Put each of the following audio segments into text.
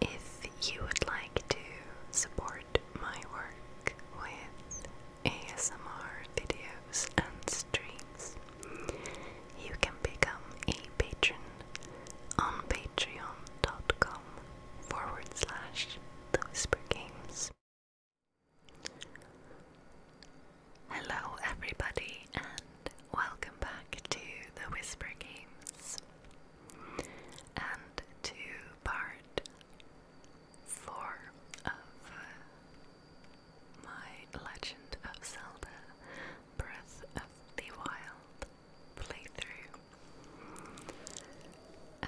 If you would like to support my work with ASMR videos and streams, you can become a patron on patreon.com forward Hello, everybody, and welcome back to the Whisper Games and to part four of uh, my Legend of Zelda Breath of the Wild playthrough.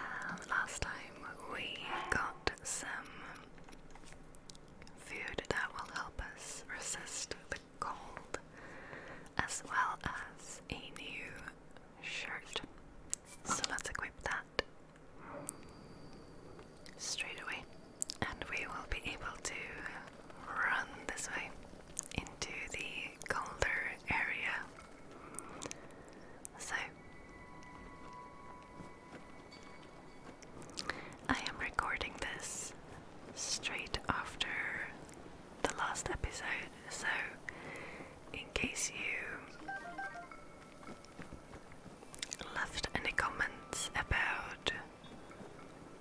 Um, last time we got some food that will help us resist the cold, as well as a new shirt. So let's equip that straight away, and we will be able to run this way into the colder area. So I am recording this straight after the last episode, so in case you left any comments about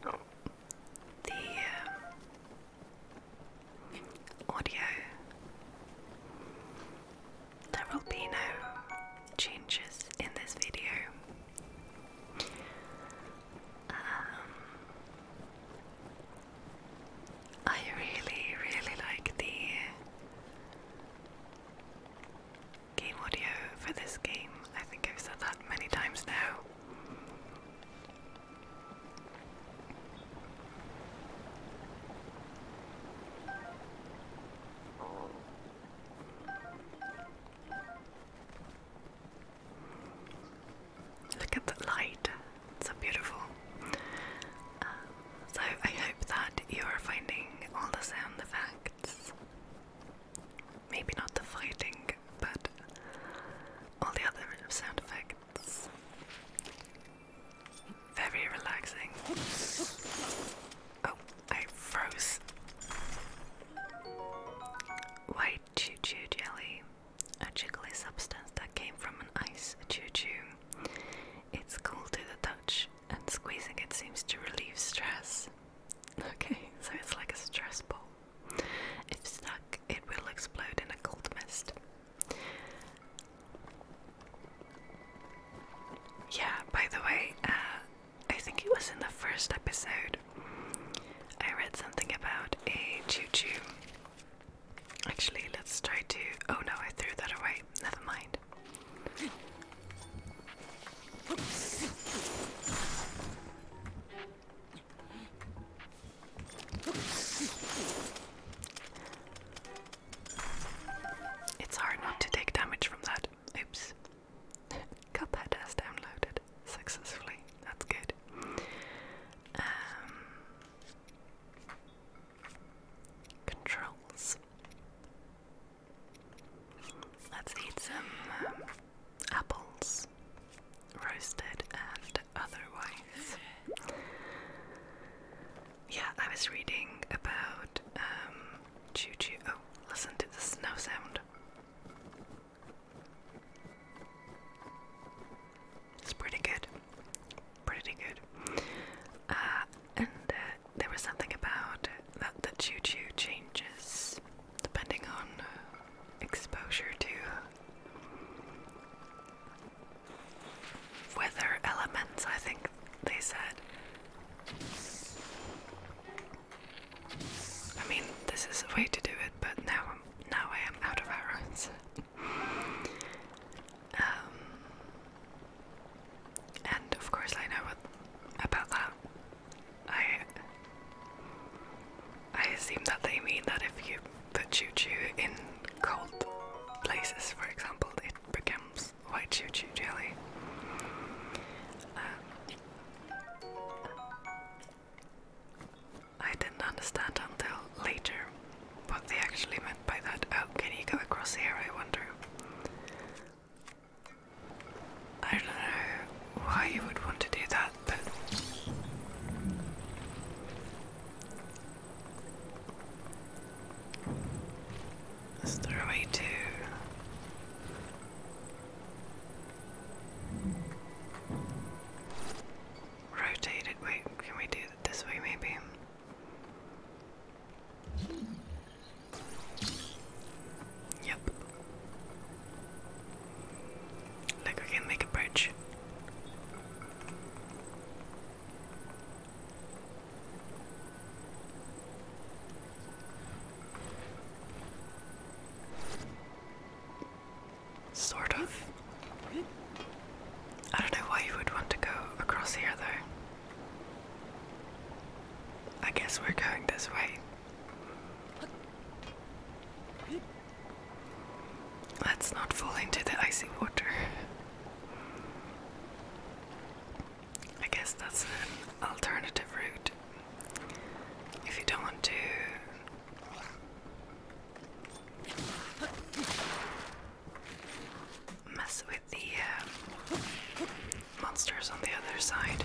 the um, audio, there will be no changes in this video. Um, I really, really like the game audio for this game. I think I've said that many times now. Look at the light, it's so beautiful. so, I hope that you are finding all the sound effects. Maybe not the fighting, but all the other sound effects. Very relaxing. Oh. I froze white choo choo jelly, a jiggly substance that came from an ice choo choo. It's cool to the touch, and squeezing it seems to relieve stress. Okay, so it's like a stress ball. If stuck, it will explode in a cold mist. Yeah, by the way, uh, I think it was in the first episode. I read something about a choo choo. Actually, let's try to. Oh no, I threw that away. Never mind. It's hard not to take damage from that. Oops. Cuphead has downloaded successfully. That's good. Um, controls. Let's eat some um, apples, roasted and otherwise. Yeah, I was reading about um, Choo choo. Oh, listen to the snow sound. It's pretty good. Pretty good. Uh, and uh, there was something about that the choo choo changes depending on uh, exposure to weather elements, I think they said. I mean, this is a way to do it, but now I'm now I am out of arrows. um, and of course, I know what, about that. I I assume that they mean that if you put choo choo in cold places, for example, it becomes white choo choo jelly. Um, I didn't understand until later what they actually meant by that. Oh, can you go across here? I wonder. I don't know why you would want to do that, but. Is there a way to? Rotate it. Wait, can we do it this way maybe? Yep. Like we can make a bridge. Sort of. I don't know why you would want to go across here though. I guess we're going this way. Let's not fall into the icy water. I guess that's an alternative route. If you don't want to mess with the uh, monsters on the other side.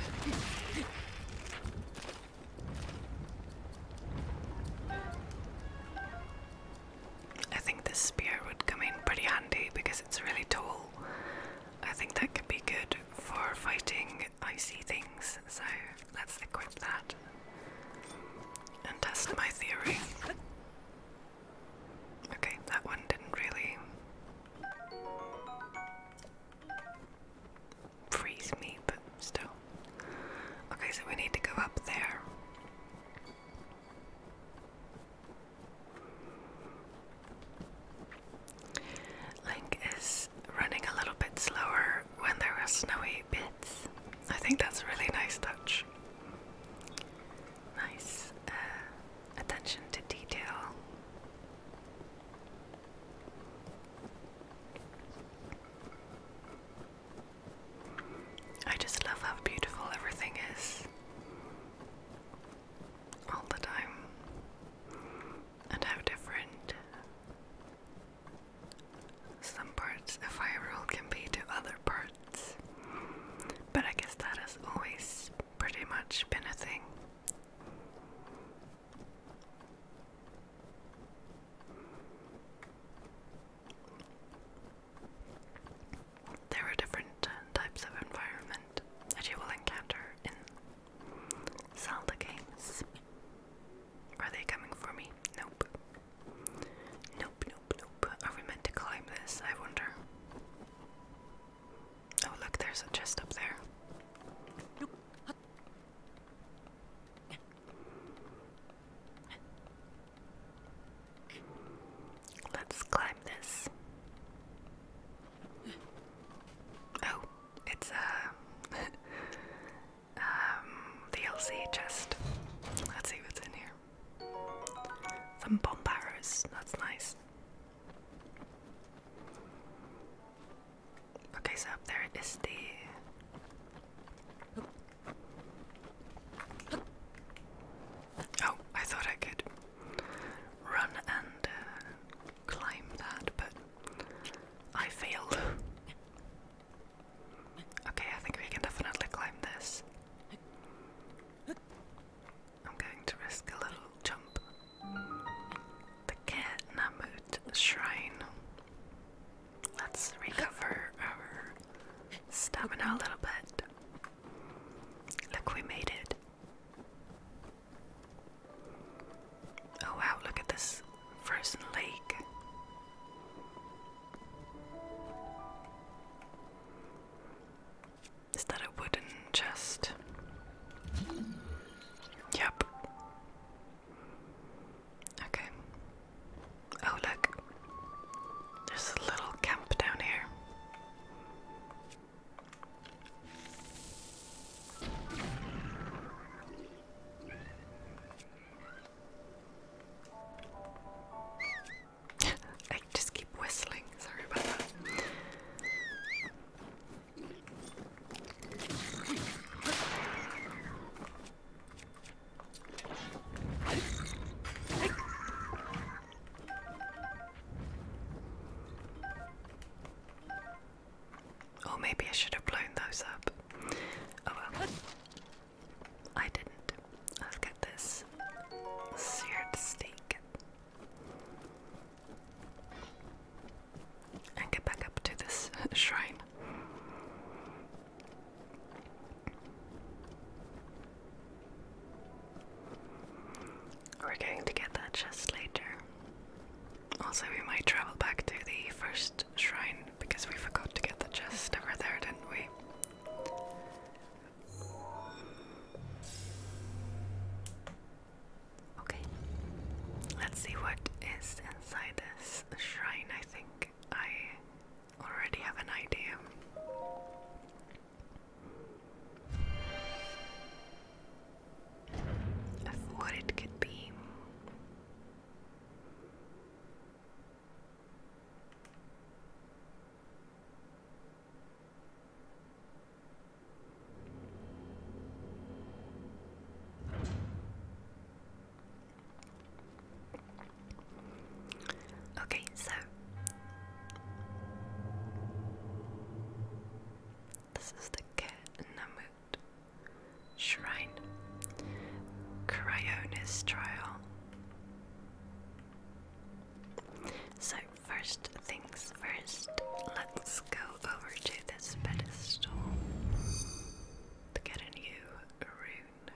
I think this spear would come in pretty handy because it's really tall I think that could be good for fighting icy things, so let's equip that and test my theory. Okay, that one didn't really freeze me, but still. Okay, so we need to go up there. Link is running a little bit slower when there are snowy bits. I think that's a really nice touch. Nice uh, attention to detail. I just love how beautiful everything is all the time and how different some parts of Hyrule can be to other parts. But I guess that has always pretty much been a thing. There are different types of environments that you will encounter in Zelda games. Are they coming for me? Nope. Nope, nope, nope. Are we meant to climb this? I wonder. Oh, look, there's a chest up there. Let's climb this. Oh, it's uh, a um, DLC chest. Let's see what's in here. Some bomb arrows. That's nice. Okay, so up there is the. Oh, I thought I could run and uh, climb that, but I failed. okay, I think we can definitely climb this. I'm going to risk a little jump. The Cat Shrine. Let's recover our stamina a little bit. Look, we made it. Oh wow, look at this frozen lake. Is that a wooden chest? Yep. Okay. Oh, look. There's a little camp down here. I just keep whistling, sorry about that. Or maybe I should have blown those up. Oh well. I didn't. Let's get this seared steak. And get back up to this shrine. We're going to get that chest later. Also, we might travel back to the first shrine because we forgot to get the chest over there, didn't we? Okay, let's see what is inside this shrine. I think I already have an idea of what it could be. Okay, so this is the Ketnamut Shrine. Cryonis Trial. So, first things first, let's go over to this pedestal to get a new rune.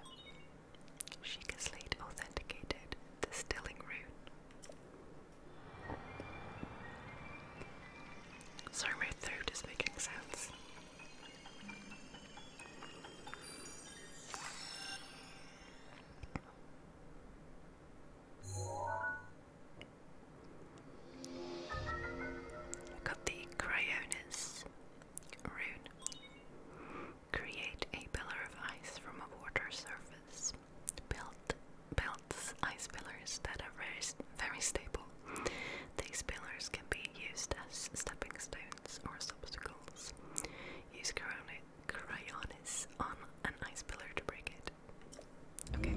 Sheikah Slate authenticated distilling rune. Sorry, my throat is making sense. Got the Cryonis rune. Create a pillar of ice from a water surface built builds ice pillars that are very very stable. These pillars can be used as stepping stones or as obstacles. Use crayonis on an ice pillar to break it. Okay.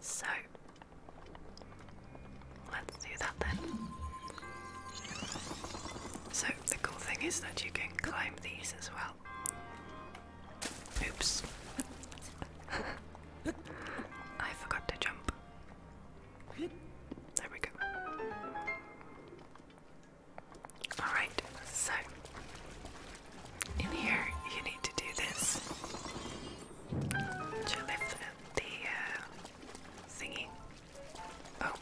So let's do that then. So the cool thing is that you can climb these as well. Oops. I forgot to jump. There we go. Alright, so in here you need to do this to lift the uh, Oh,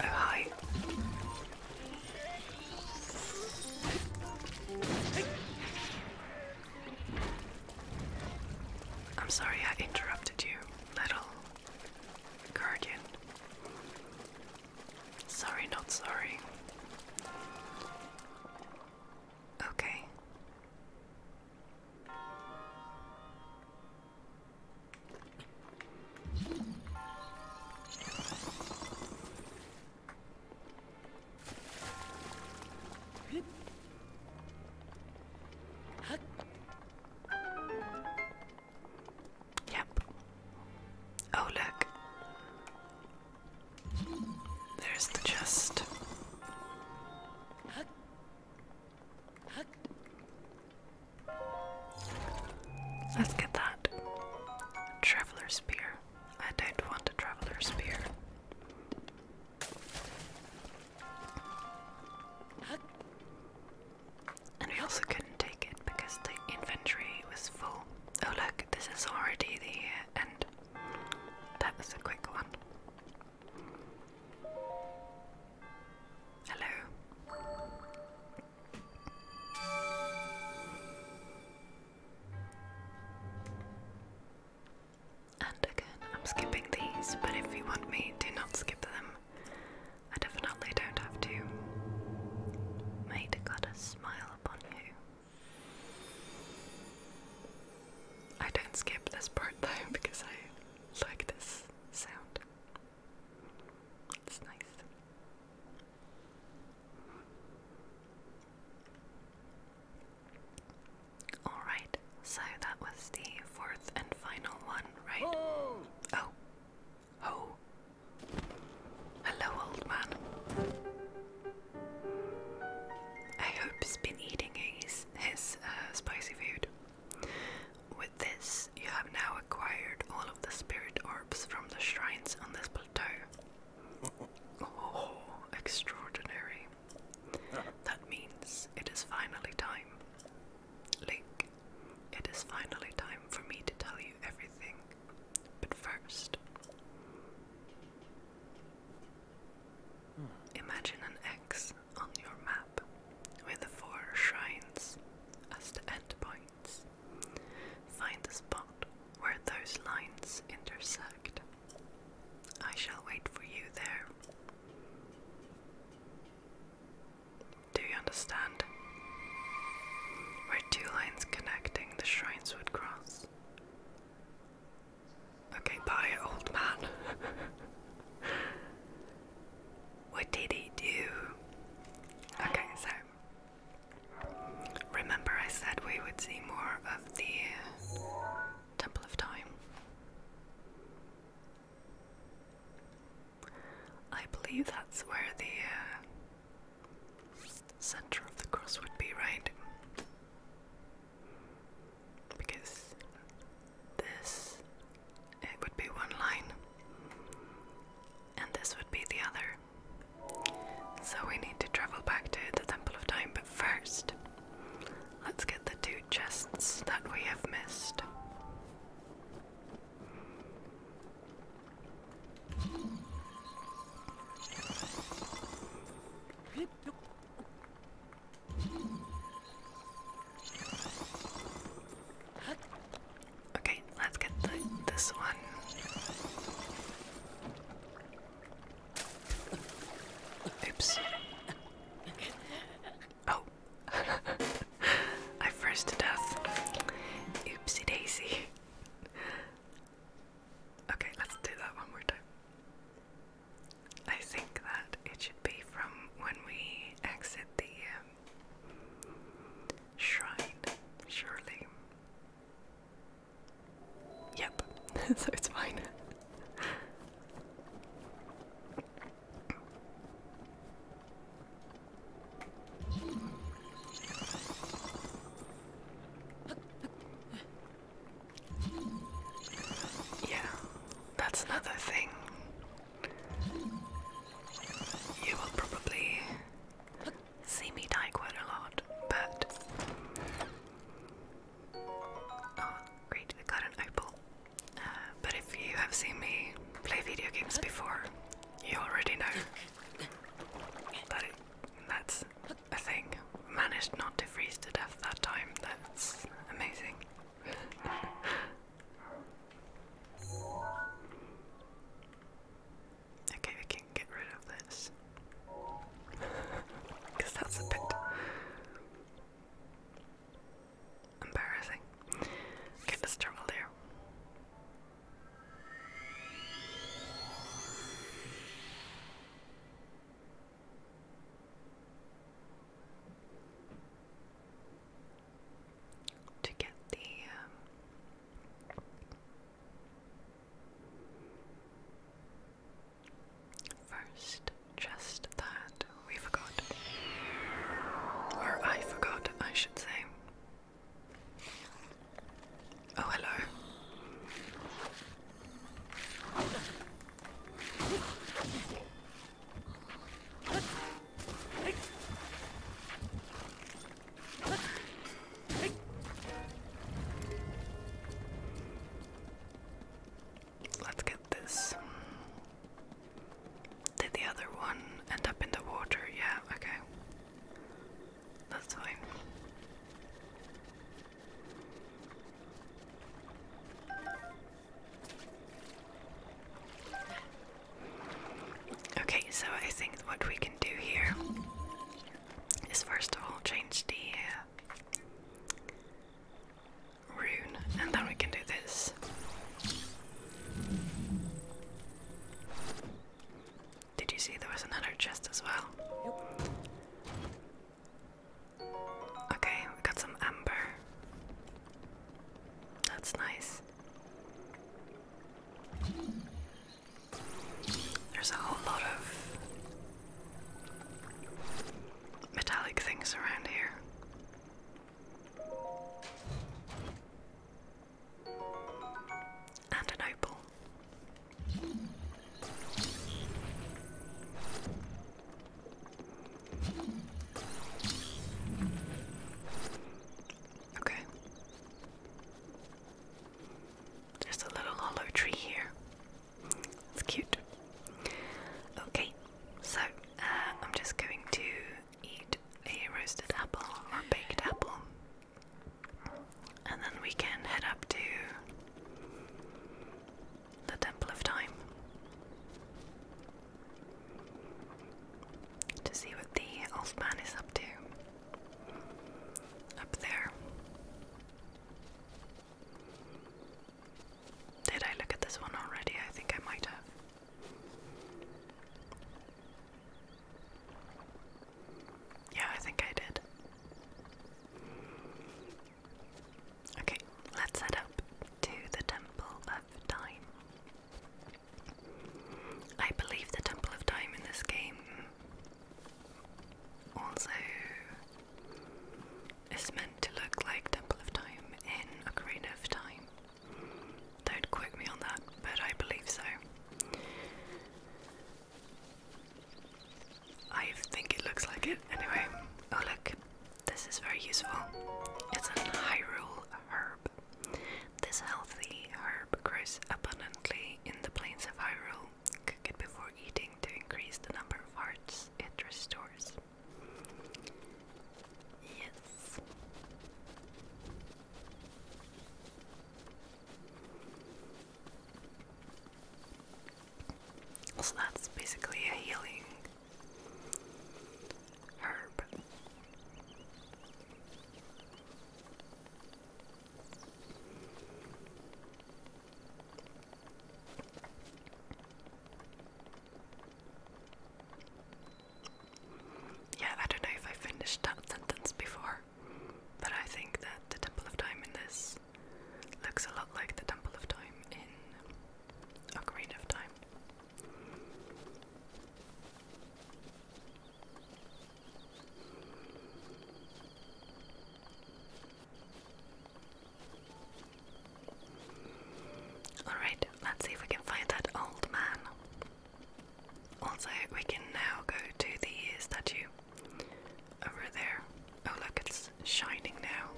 hi. I'm sorry I interrupted you, little guardian. Sorry, not sorry. Okay. Yep. Oh, look. There's the chest. Let's get that. Traveler spear. I don't want a traveler spear. And we also couldn't take it because the inventory was full. Oh look, this is already the end. That was a quick one. Hello. And again, I'm skipping these, but if you want me to not skip them, I definitely don't have to. May the goddess smile upon you. I don't skip this part though because I like this sound. It's nice. Alright, so that was the fourth and final one, right? Oh! Oh. Hello, old man. I hope he's been eating his, his uh, spicy food. With this, you have now acquired all of the spirit orbs from the shrines on this plateau. Oh, extraordinary. That means it is finally time. Link, it is finally time for me to tell you everything. But first, hmm. imagine an X on your map with the four shrines as the end point. Find the spot where those lines intersect. I shall wait for you there. Do you understand? Where two lines connecting the shrines would cross. Okay, bye, old man. What did he do? Okay, so remember I said we would see more of the Temple of Time. I believe that's where the uh, center of the cross would be, right? Because this it would be one line, and this would be the other. So we need to travel back to the Temple of Time, but first, let's get the two chests that we have missed. Okay, let's get this one. Oops. Oh. I froze to death. Oopsie daisy. Okay, let's do that one more time. I think that it should be from when we exit the um, Shrine, surely. Yep, so it's mine. yeah, that's another thing. You will probably see me die quite a lot, but. Oh, great, got an opal. Uh, but if you have seen me play video games before, you already know that it, that's a thing. Managed not to freeze to death that time, that's amazing. Okay, we can get rid of this. Because that's a bit embarrassing. Okay, let's there to get the um, first chest that we forgot, or I forgot, I should say. Oh, hello. Let's get this. Did the other one end up in the water? Yeah, okay. That's fine. Okay, so I think what we can do here is first of all change the uh, rune, and then we can do this. Did you see there was another chest as well? Okay, we got some amber. That's nice. There's a whole lot of metallic things around here. And an opal. Okay. There's a little hollow tree here. It's cute. Okay, so uh, I'm just going to eat a roasted apple or baked apple, and then we can head up to the Temple of Time to see what the elf man is up to up there. Did I look at this one already? I think I might have. Yeah, I think I did. Okay, let's head up to the Temple of Time. I believe the Temple of Time in this game also is meant to look like Temple of Time in Ocarina of Time. Don't quote me on that, but I believe so. I think it looks like it. Anyway, oh look, this is very useful. It's an Hyrule this healthy herb grows abundantly in the plains of Hyrule. Cook it before eating to increase the number of hearts it restores. Yes. So that's basically a healing herb. Yeah, I don't know if I finished that sentence before, but I think that the Temple of Time in this looks a lot like the Temple of Time in Ocarina of Time. Alright, let's see if we can find that old man. Also, we can now go to the statue over there. Oh, look, it's shining now.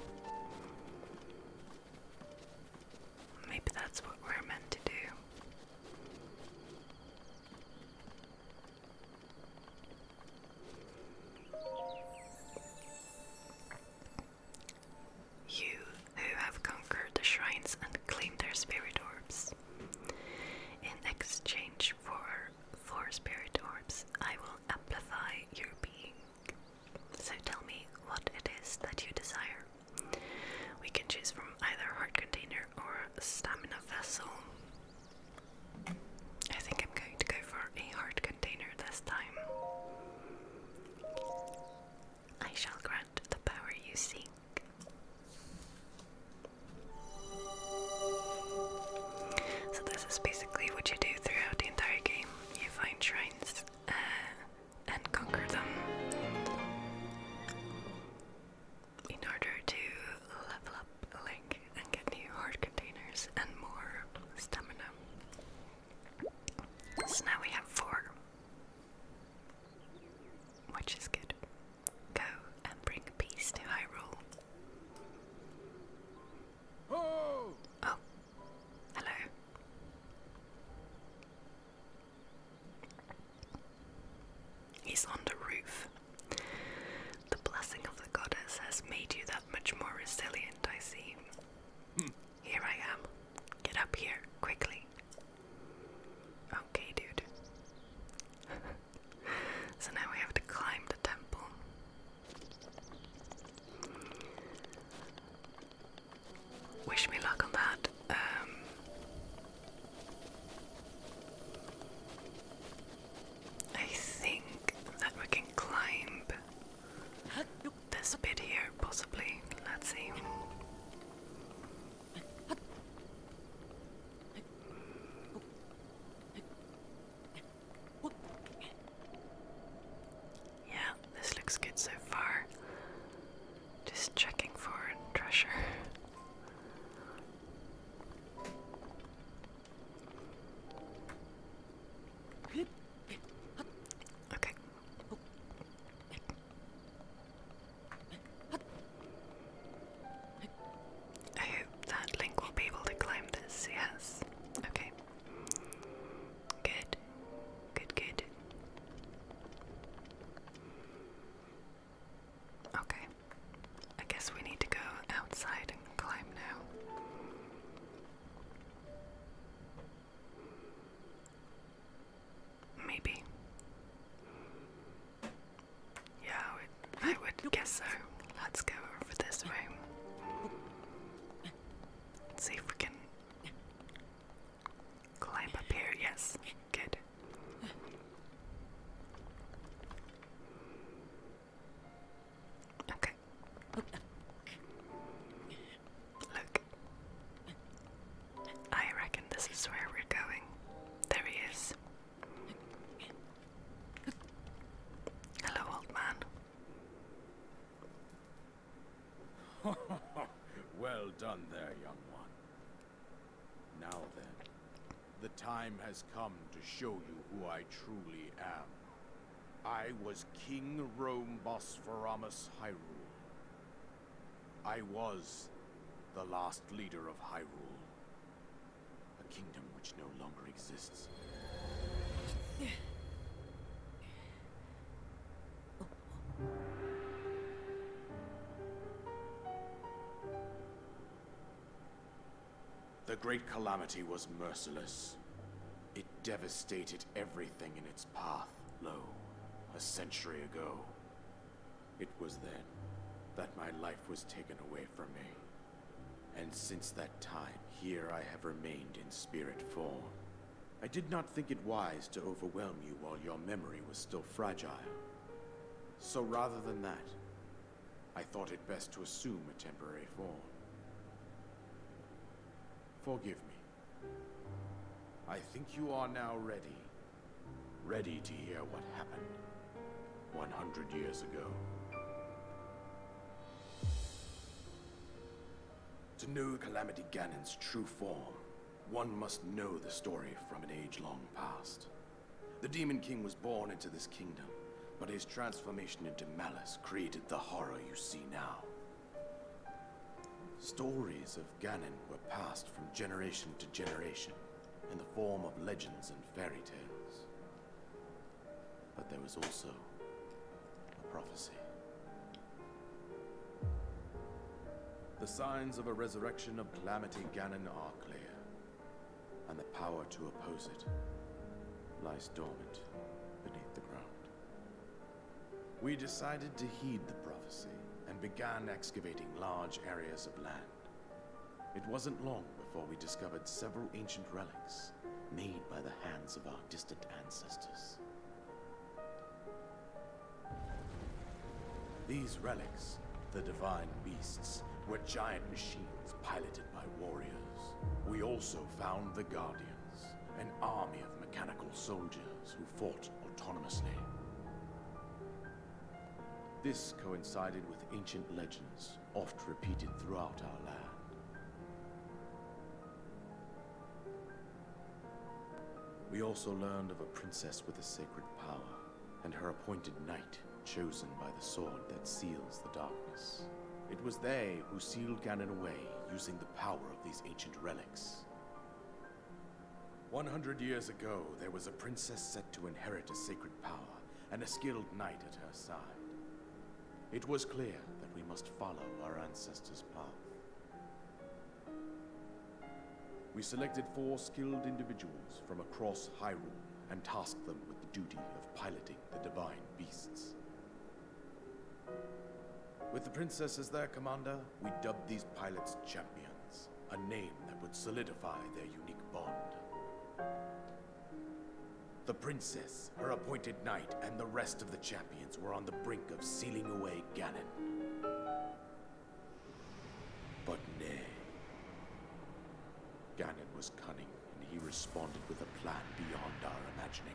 Maybe that's what we're meant to do. You who have conquered the shrines and claimed their spirit orbs. In exchange for four spirit orbs, I will amplify your being. So tell me what it is that you desire. We can choose from either heart container or stamina vessel. I think I'm going to go for a heart container this time. I shall grant the power you seek. So this is basically what you do throughout the entire game. You find shrines, uh, and conquer them in order to level up Link and get new hard containers and more stamina. So now we have four, which is good. Go and bring peace to Hyrule. Oh, hello. He's on the roof. The blessing of the goddess has made you that much more resilient, I see. Hmm. Here I am. Get up here, quickly. Okay, dude. so now we have to climb the temple wish me luck on that. Um, I think that we can climb this bit here, possibly. Let's see. Yeah, this looks good so far. Just checking for treasure. Okay. I hope that Link will be able to climb this, yes. Okay. Good. Good, good. Okay. I guess we need to go outside and climb now. Maybe. Yeah, I would, guess so. Let's go over this way. see if we can Climb up here, yes. Good. Okay. Look. I reckon this is where we're going. There he is. Hello, old man. well done there, young one. Now then, the time has come to show you who I truly am. I was King Rome Bosforamus Hyrule. I was the last leader of Hyrule. A kingdom which no longer exists. Oh. The Great Calamity was merciless. It devastated everything in its path, lo, a century ago. It was then that my life was taken away from me. And since that time, here I have remained in spirit form. I did not think it wise to overwhelm you while your memory was still fragile. So rather than that, I thought it best to assume a temporary form. Forgive me. I think you are now ready. Ready to hear what happened 100 years ago. To know Calamity Ganon's true form, one must know the story from an age-long past. The Demon King was born into this kingdom, but his transformation into malice created the horror you see now. Stories of Ganon were passed from generation to generation in the form of legends and fairy tales. But there was also a prophecy. The signs of a resurrection of Calamity Ganon are clear, and the power to oppose it lies dormant beneath the ground. We decided to heed the prophecy and began excavating large areas of land. It wasn't long before we discovered several ancient relics made by the hands of our distant ancestors. These relics, the divine beasts, were giant machines piloted by warriors. We also found the Guardians, an army of mechanical soldiers who fought autonomously. This coincided with ancient legends, oft repeated throughout our land. We also learned of a princess with a sacred power and her appointed knight, chosen by the sword that seals the darkness. It was they who sealed Ganon away, using the power of these ancient relics. 100 years ago, there was a princess set to inherit a sacred power, and a skilled knight at her side. It was clear that we must follow our ancestors' path. We selected four skilled individuals from across Hyrule and tasked them with the duty of piloting the divine beasts. With the princess as their commander, we dubbed these pilots champions, a name that would solidify their unique bond. The princess, her appointed knight, and the rest of the champions were on the brink of sealing away Ganon. But nay. Ganon was cunning, and he responded with a plan beyond our imagining.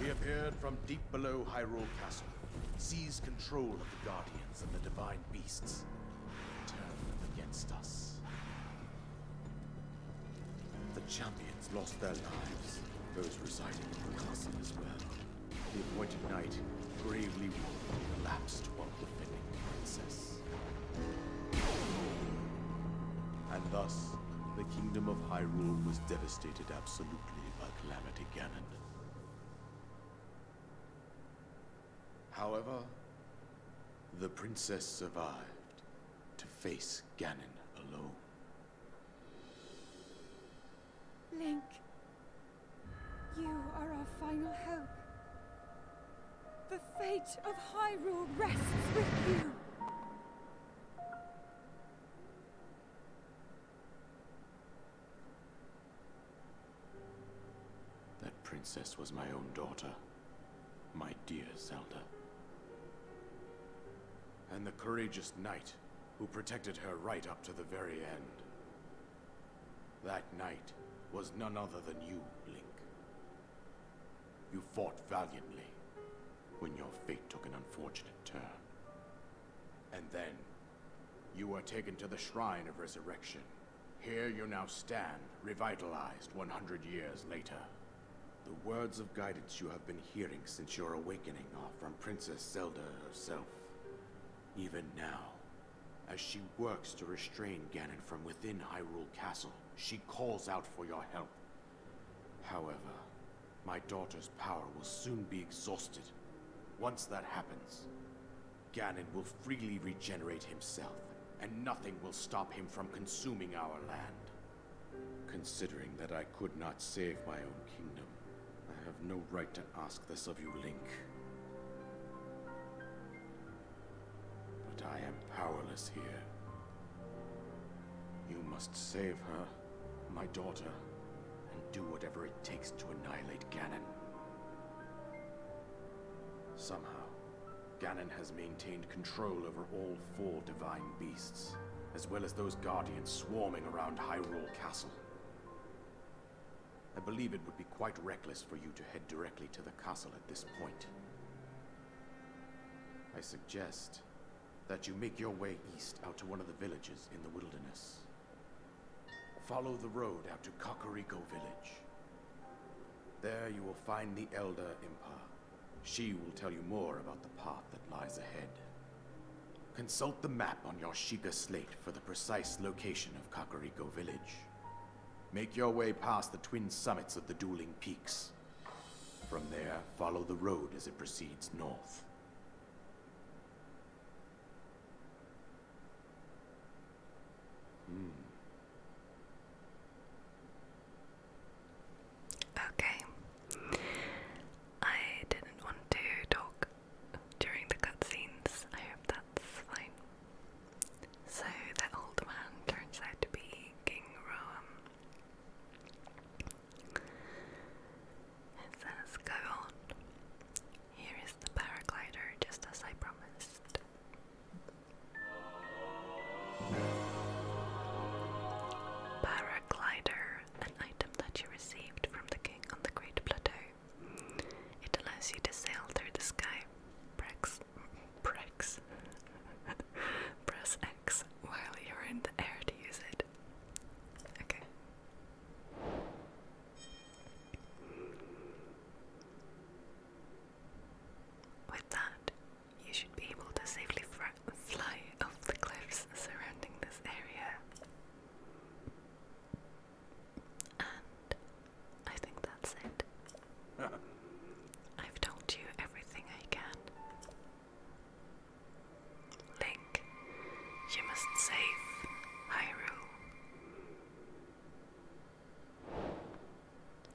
He appeared from deep below Hyrule Castle, seized control of the Guardians and the Divine Beasts, and turned them against us. The champions lost their lives, those residing in the castle as well. The appointed knight bravely, collapsed while defending the princess. And thus, the kingdom of Hyrule was devastated absolutely absolutely by Ganon. However, the princess survived to face Ganon alone. Link, you are our final hope. The fate of Hyrule rests with you. That princess was my own daughter, my dear Zelda. And the courageous knight who protected her right up to the very end. That knight was none other than you, Link. You fought valiantly, when your fate took an unfortunate turn. And then, you were taken to the Shrine of Resurrection. Here you now stand, revitalized 100 years later. The words of guidance you have been hearing since your awakening are from Princess Zelda herself. Even now, as she works to restrain Ganon from within Hyrule Castle, she calls out for your help However, my daughter's power will soon be exhausted. Once that happens, Ganon will freely regenerate himself, and nothing will stop him from consuming our land. Considering that I could not save my own kingdom, I have no right to ask this of you, Link. But I am powerless here. You must save her my daughter, and do whatever it takes to annihilate Ganon. Somehow, Ganon has maintained control over all four divine beasts, as well as those guardians swarming around Hyrule Castle. I believe it would be quite reckless for you to head directly to the castle at this point. I suggest that you make your way east out to one of the villages in the wilderness. Follow the road out to Kakariko village. There you will find the Elder Impa. She will tell you more about the path that lies ahead. Consult the map on your Shiga slate for the precise location of Kakariko village. Make your way past the twin summits of the dueling peaks. From there, follow the road as it proceeds north. Okay. I didn't want to talk during the cutscenes. I hope that's fine. So, that old man turns out to be King Roam. It says, Go on. Here is the paraglider, just as I promised. Paraglider, an item that you received from the king on the Great Plateau. It allows you to sail through the sky. Prex. Prex. Press X while you're in the air to use it it. Okay. With that, you should be able to safely fly off the cliffs surrounding this area. And I think that's it. I've told you everything I can. Link, you must save Hyrule.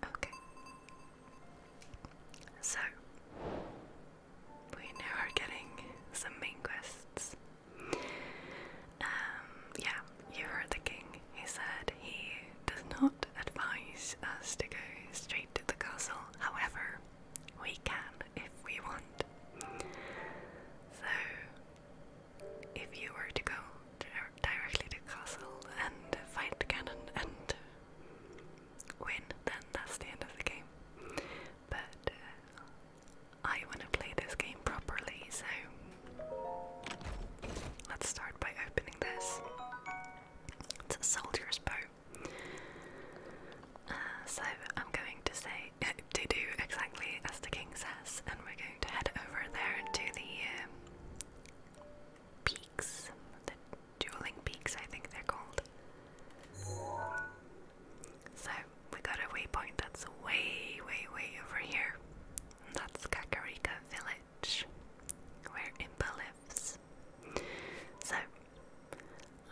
Okay. So, we now are getting some main quests. Um, yeah, you heard the king. He said he does not advise us to go straight to the castle. However, we can if we want. So, if you were to go directly to castle and fight cannon and win, then that's the end of the game. But uh, I want to play this game properly, so let's start by opening this. It's a soldier's bow. Uh, so I'm going to say to do exactly as the king says, and we're going to head over there to the um, peaks, the dueling peaks, I think they're called. So we got a waypoint that's way, way, way over here. That's Kakarika Village, where Impa lives. So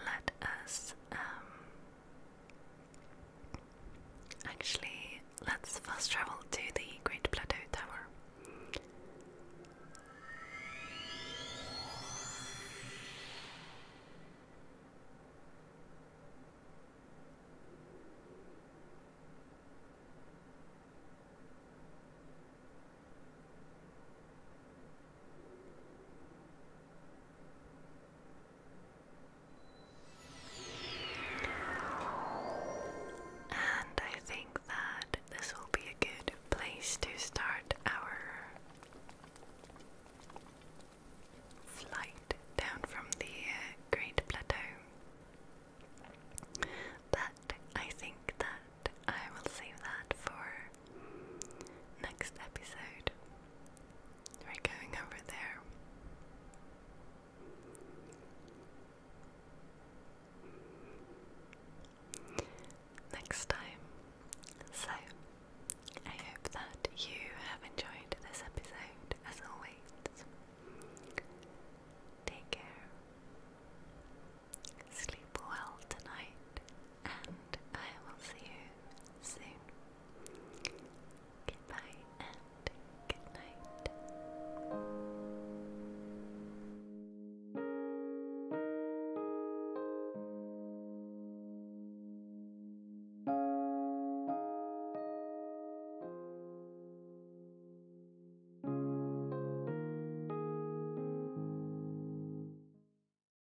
let us um actually let's fast travel to the Great Plateau Tower. And I think that this will be a good place to start our flight down from the uh, Great Plateau. But I think that I will save that for next episode. We're going over there. Next time. So, I hope that you have enjoyed this episode as always. Take care. Sleep well tonight and I will see you soon. Goodbye and good